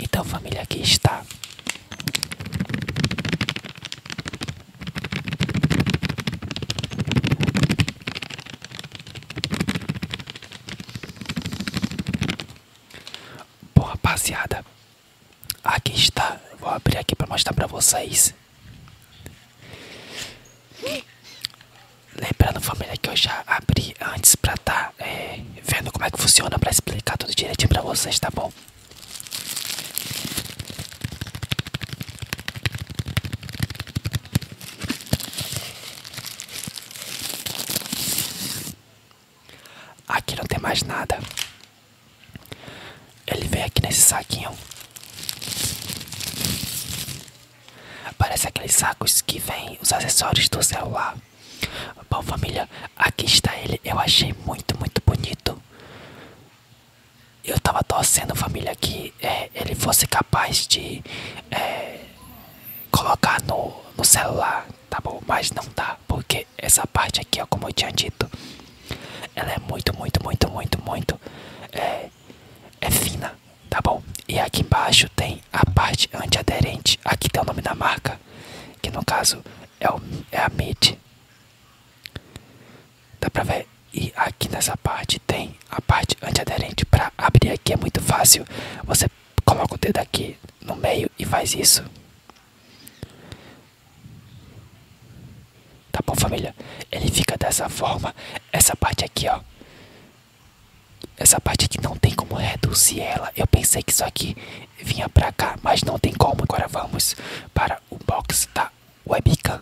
Então, família, aqui está Bom, rapaziada, aqui está. Vou abrir aqui para mostrar para vocês. Lembrando, família, que eu já abri antes para estar tá, é, vendo como é que funciona para explicar tudo direitinho para vocês, tá bom? Aqui não tem mais nada. Ele vem aqui nesse saquinho. Parece aqueles sacos que vem os acessórios do celular. Bom família, aqui está ele. Eu achei muito, muito bonito. Eu tava torcendo, família, que é, ele fosse capaz de é, colocar no, no celular, tá bom? Mas não tá, porque essa parte aqui, como eu tinha dito, ela é muito, muito, muito, muito, muito é, é, fina, tá bom? E aqui embaixo tem a parte antiaderente. Aqui tem o nome da marca, que no caso é, o, é a MIT, Dá pra ver? E aqui nessa parte tem a parte antiaderente para abrir aqui. É muito fácil. Você coloca o dedo aqui no meio e faz isso. Tá bom, família? Ele fica dessa forma. Essa parte aqui, ó. Essa parte aqui não tem como reduzir ela. Eu pensei que isso aqui vinha pra cá, mas não tem como. Agora vamos para para o box da webcam.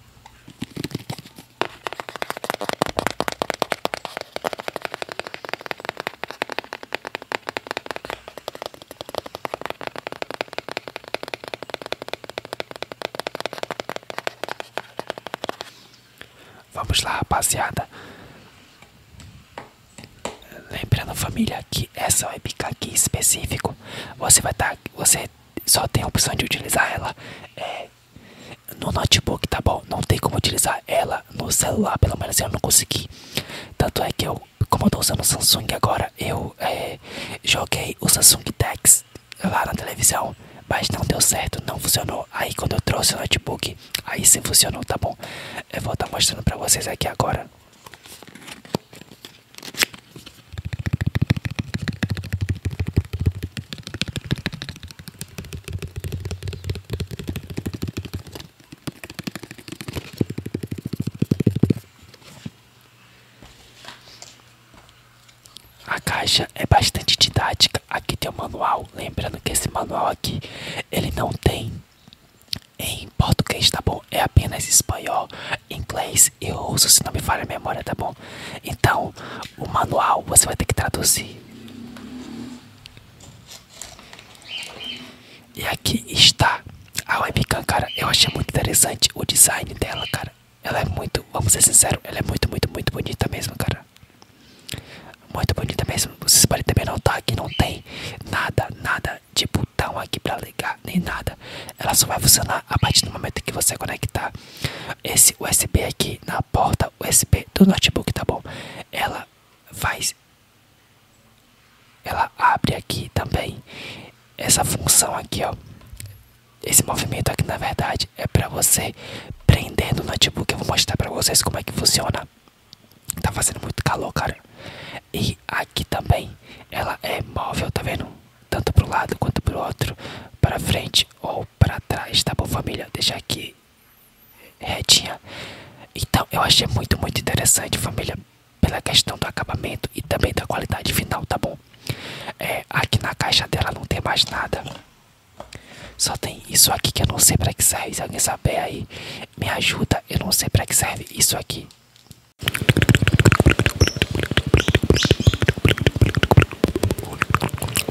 Vamos lá, rapaziada. Lembrando, família, que essa webcam aqui em específico você vai estar. Tá, você só tem a opção de utilizar ela é, no notebook, tá bom? Não tem como utilizar ela no celular, pelo menos eu não consegui. Tanto é que eu, como eu tô usando o Samsung agora, eu é, joguei o Samsung Dex lá na televisão, mas não deu certo, não funcionou. Aí quando eu trouxe o notebook, aí sim funcionou, tá bom? Eu vou estar tá mostrando pra vocês aqui agora. A caixa é bastante didática. Aqui tem o um manual. Lembrando que esse manual aqui ele não tem em português, tá bom? É apenas espanhol, inglês e russo, se não me falha a memória, tá bom? Então, o manual você vai ter que traduzir. E aqui está a webcam, cara. Eu achei muito interessante o design dela, cara. Ela é muito, vamos ser sinceros, ela é muito, muito, muito bonita mesmo, cara. Muito bonita mesmo. Vocês podem também notar que não tem nada, nada, tipo, botão aqui para ligar, nem nada. Ela só vai funcionar a partir do momento que você conectar esse USB aqui na porta USB do notebook, tá bom? Ela faz ela abre aqui também essa função aqui, ó. Esse movimento aqui na verdade é para você prender no notebook. Eu vou mostrar para vocês como é que funciona. Tá fazendo muito calor, cara. E aqui também ela é móvel, tá vendo? Tanto pro lado quanto pro outro, para frente ou para trás, tá bom, família? deixa aqui retinha. Então, eu achei muito, muito interessante, família, pela questão do acabamento e também da qualidade final, tá bom? É, aqui na caixa dela não tem mais nada. Só tem isso aqui que eu não sei para que serve. Se alguém saber aí, me ajuda. Eu não sei para que serve isso aqui.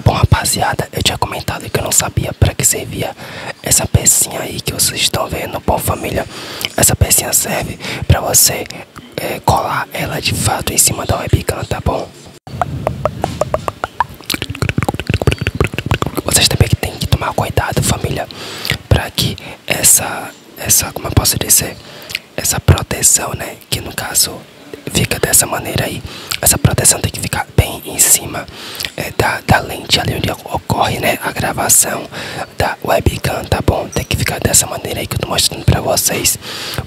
Bom rapaziada, eu tinha comentado que eu não sabia para que servia essa pecinha aí que vocês estão vendo. Bom família, essa pecinha serve para você é, colar ela de fato em cima da webcam, tá bom? Vocês também têm que tomar cuidado família, para que essa essa, essa, como eu posso dizer, essa proteção, né? Que no caso fica dessa maneira aí. Essa proteção tem que ficar bem em cima é, da, da lente ali onde ocorre, né? A gravação da webcam, tá bom? Tem que ficar dessa maneira aí que eu tô mostrando pra vocês.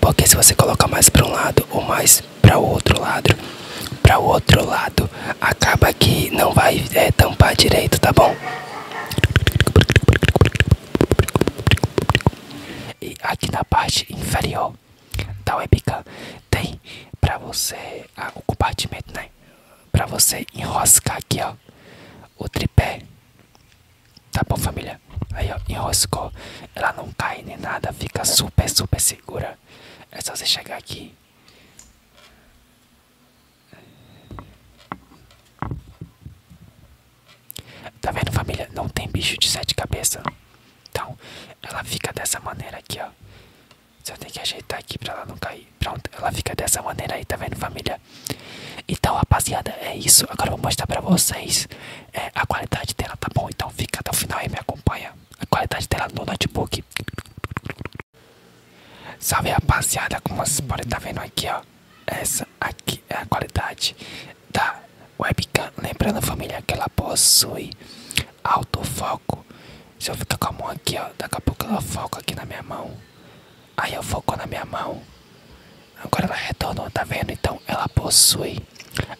Porque se você colocar mais pra um lado ou mais pra outro lado, para o outro lado, acaba que não vai é, tampar direito, tá bom? E aqui na parte inferior da webcam tem para você ah, o compartimento, né? para você enroscar aqui, ó, o tripé. Tá bom, família? Aí, ó, enroscou. Ela não cai nem nada, fica super, super segura. É só você chegar aqui. Tá vendo, família? Não tem bicho de sete cabeças. Então, ela fica dessa maneira aqui, ó. Só tem que ajeitar aqui pra ela não cair. Pronto, ela fica dessa maneira aí, tá vendo, família? Então, rapaziada, é isso. Agora eu vou mostrar pra vocês é, a qualidade dela, tá bom? Então fica até o final e me acompanha. A qualidade dela no notebook. Salve, rapaziada. Como vocês podem estar tá vendo aqui, ó. Essa aqui é a qualidade da webcam. Lembrando, família, que ela possui autofoco. Se eu ficar com a mão aqui, ó, daqui a pouco ela foca aqui na minha mão. Aí eu foco na minha mão. Agora ela retornou, tá vendo? Então ela possui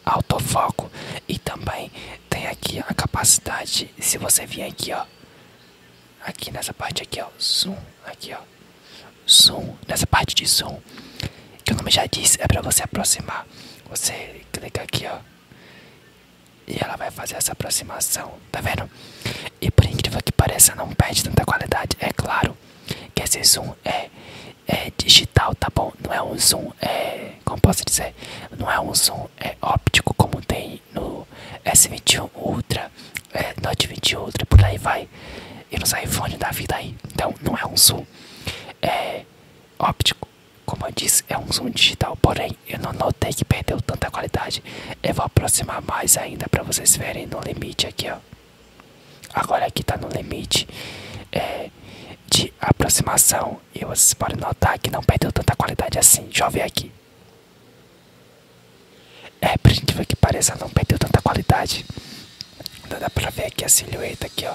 autofoco. E também tem aqui a capacidade, se você vir aqui, ó aqui nessa parte aqui, ó, zoom, aqui, ó, zoom, nessa parte de zoom, que o nome já diz, é pra você aproximar, você clica aqui, ó, e ela vai fazer essa aproximação, tá vendo? E por incrível que pareça, não perde tanta qualidade, é claro que esse zoom é, é digital, tá bom? Não é um zoom, é, como posso dizer, não é um zoom é óptico como tem no S21 Ultra, é, Note 20 outro e por aí vai, e nos iPhone da vida aí. Então, não é um zoom é óptico, como eu disse, é um zoom digital, porém, eu não notei que perdeu tanta qualidade. Eu vou aproximar mais ainda para vocês verem no limite aqui, Agora aqui tá no limite é, de aproximação e vocês podem notar que não perdeu tanta qualidade assim. Deixa eu aqui. É, pra gente ver que pareça, não perdeu tanta qualidade. Então dá pra ver aqui a silhueta aqui, ó,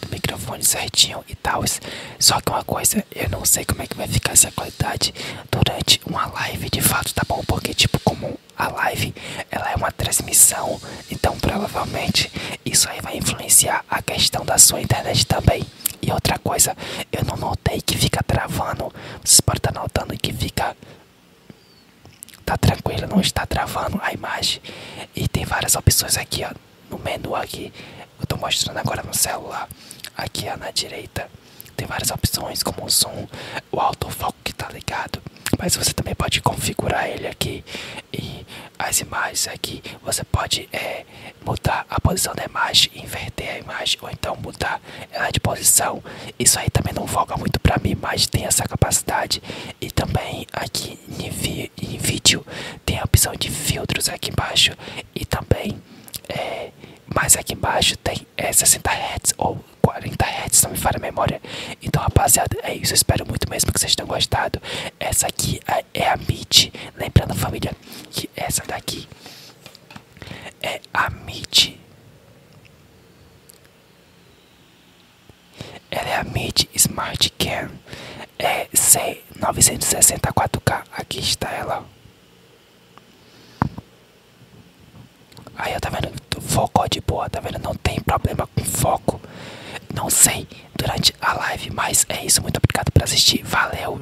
do microfone certinho e tal. Só que uma coisa, eu não sei como é que vai ficar essa qualidade durante uma live de fato, tá bom? Porque, tipo, como a live, ela é uma transmissão, então provavelmente isso aí vai influenciar a questão da sua internet também. E outra coisa, eu não notei que fica travando, vocês podem estar notando que fica Tá tranquilo, não está travando a imagem. E tem várias opções aqui, ó. No menu aqui, eu tô mostrando agora no celular. Aqui, na direita, tem várias opções, como o som o autofoco que tá ligado. Mas você também pode configurar ele aqui. E as imagens aqui, você pode é, mudar a posição da imagem, inverter a imagem, ou então tá ela de posição. Isso aí também não volta muito pra mim, mas tem essa capacidade. E também aqui em, vídeo tem a opção de filtros aqui embaixo. E também, é, mais aqui embaixo tem é, 60 Hz ou 40 Hz, não me falha memória. Então, rapaziada, é isso. espero muito mesmo que vocês tenham gostado. Essa aqui é, é a MIT. Lembrando, família, que essa daqui é a MIT. Ela é a Mid Smart Cam é C964K. Aqui está ela. Aí, eu tá vendo? Foco de boa, tá vendo? Não tem problema com foco. Não sei durante a live, mas é isso. Muito obrigado por assistir. Valeu!